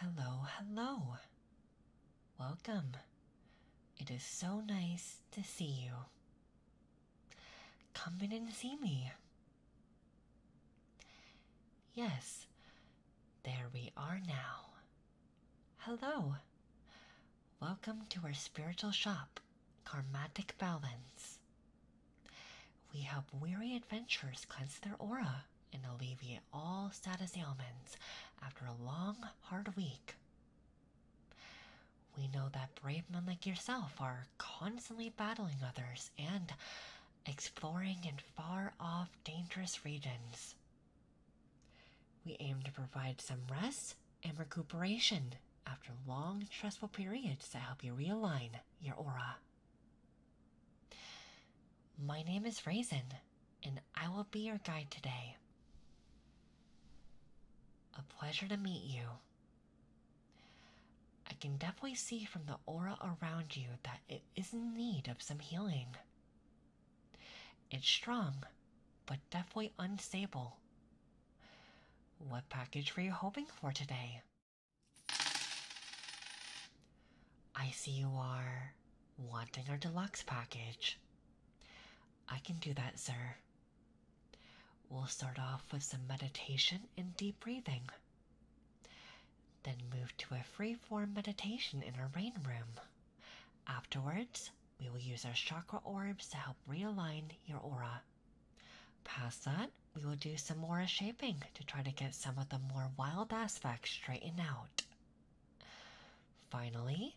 Hello, hello. Welcome. It is so nice to see you. Come in and see me. Yes, there we are now. Hello. Welcome to our spiritual shop. Karmatic balance. We help weary adventurers cleanse their aura and alleviate all status ailments after a long, hard week. We know that brave men like yourself are constantly battling others and exploring in far off, dangerous regions. We aim to provide some rest and recuperation after long, stressful periods to help you realign your aura. My name is Raisin, and I will be your guide today. A pleasure to meet you. I can definitely see from the aura around you that it is in need of some healing. It's strong, but definitely unstable, what package were you hoping for today? I see you are wanting our deluxe package. I can do that, sir. We'll start off with some meditation and deep breathing, then move to a free form meditation in our rain room. Afterwards, we will use our chakra orbs to help realign your aura. Past that, we will do some more shaping to try to get some of the more wild aspects straightened out. Finally,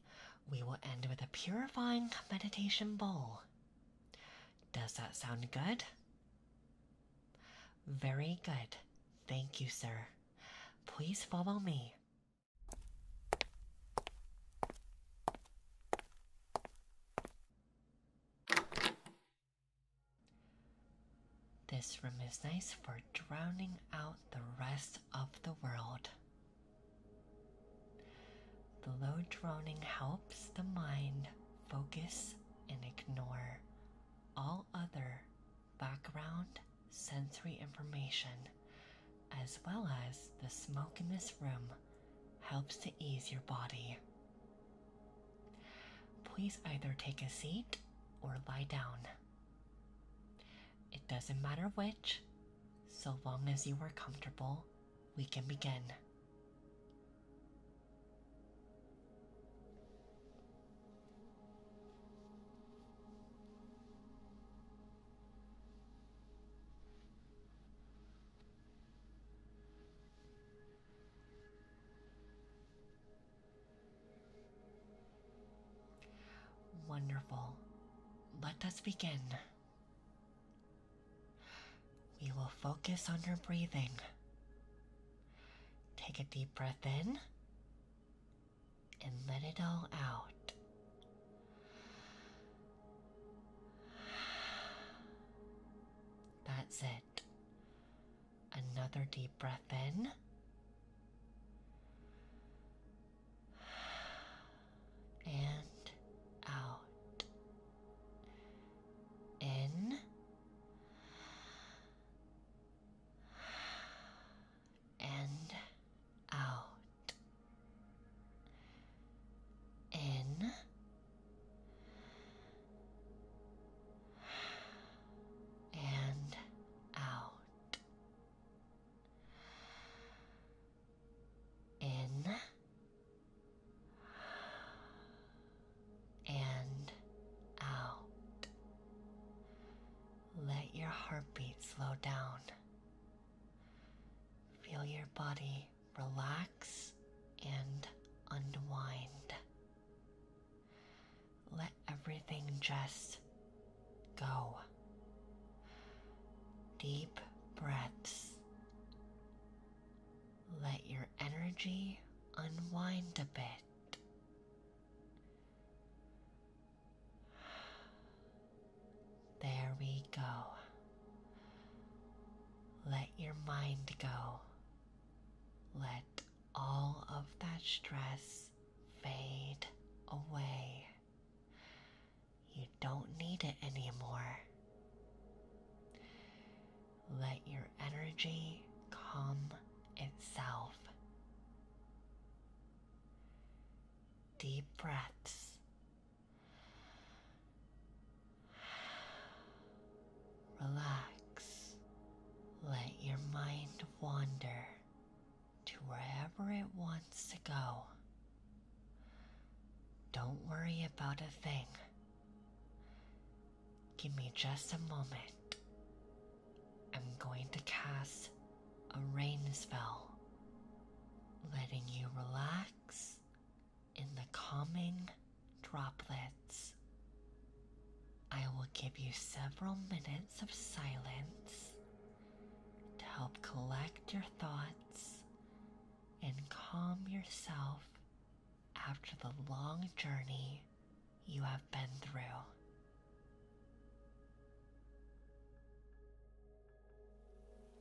we will end with a purifying meditation bowl. Does that sound good? Very good. Thank you, sir. Please follow me. This room is nice for drowning out the rest of the world. The low droning helps the mind focus and ignore all other background sensory information as well as the smoke in this room helps to ease your body. Please either take a seat or lie down. It doesn't matter which, so long as you are comfortable, we can begin. Wonderful. Let us begin. We will focus on your breathing. Take a deep breath in and let it all out. That's it. Another deep breath in. And out. In. And out. In and out. In and out. Let your heartbeat slow down. Feel your body relax, and unwind. Let everything just go. Deep breaths. Let your energy unwind a bit. There we go. Let your mind go. Let all of that stress fade away. You don't need it anymore. Let your energy calm itself. Deep breaths Relax. Let your mind wander to wherever it wants to go. Don't worry about a thing. Give me just a moment. I'm going to cast a rain spell, letting you relax in the calming droplets. I will give you several minutes of silence to help collect your thoughts and calm yourself after the long journey you have been through.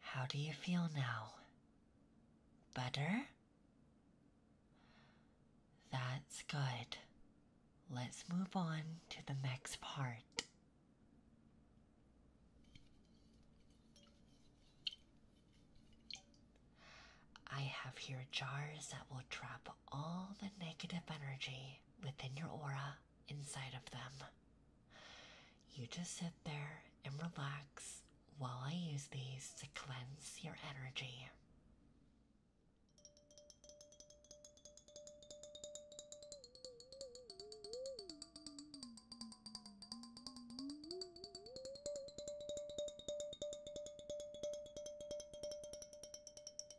How do you feel now? Better? That's good. Let's move on to the next part. I have here jars that will trap all the negative energy within your aura inside of them. You just sit there and relax while I use these to cleanse your energy.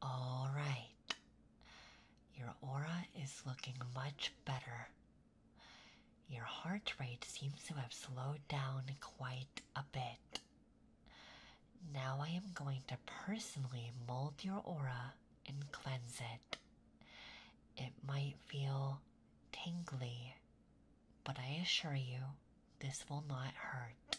All right. Your aura is looking much better. Your heart rate seems to have slowed down quite a bit. Now I am going to personally mold your aura and cleanse it. It might feel tingly, but I assure you this will not hurt.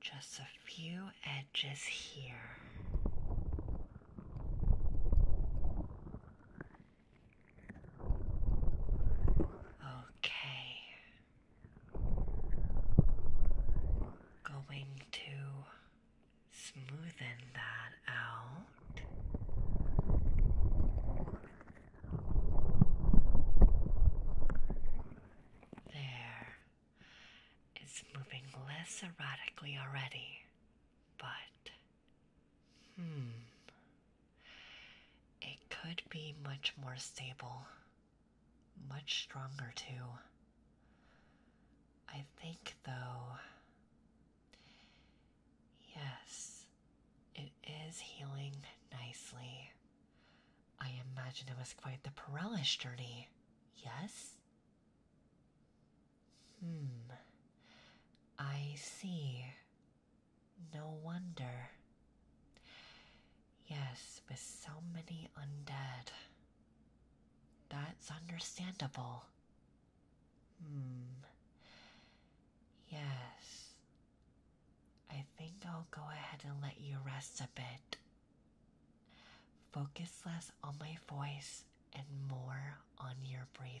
just a few edges here. Okay. Going to smoothen that out. There. It's moving less erratically already, but hmm, it could be much more stable, much stronger too. I think, though, yes, it is healing nicely. I imagine it was quite the perilous journey, yes? Hmm, I see. No wonder. Yes, with so many undead. That's understandable. Hmm. Yes. I think I'll go ahead and let you rest a bit. Focus less on my voice and more on your breathing.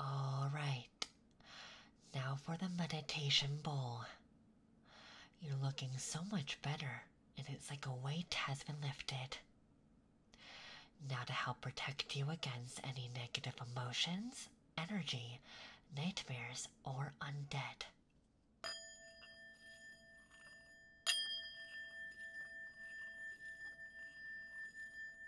All right. Now for the meditation bowl. You're looking so much better, and it's like a weight has been lifted. Now, to help protect you against any negative emotions, energy, nightmares, or undead.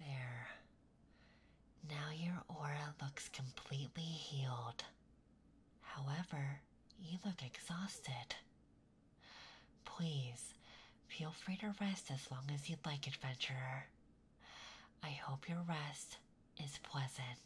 There. Now your aura looks completely healed. However, you look exhausted. Please, feel free to rest as long as you'd like, adventurer. I hope your rest is pleasant.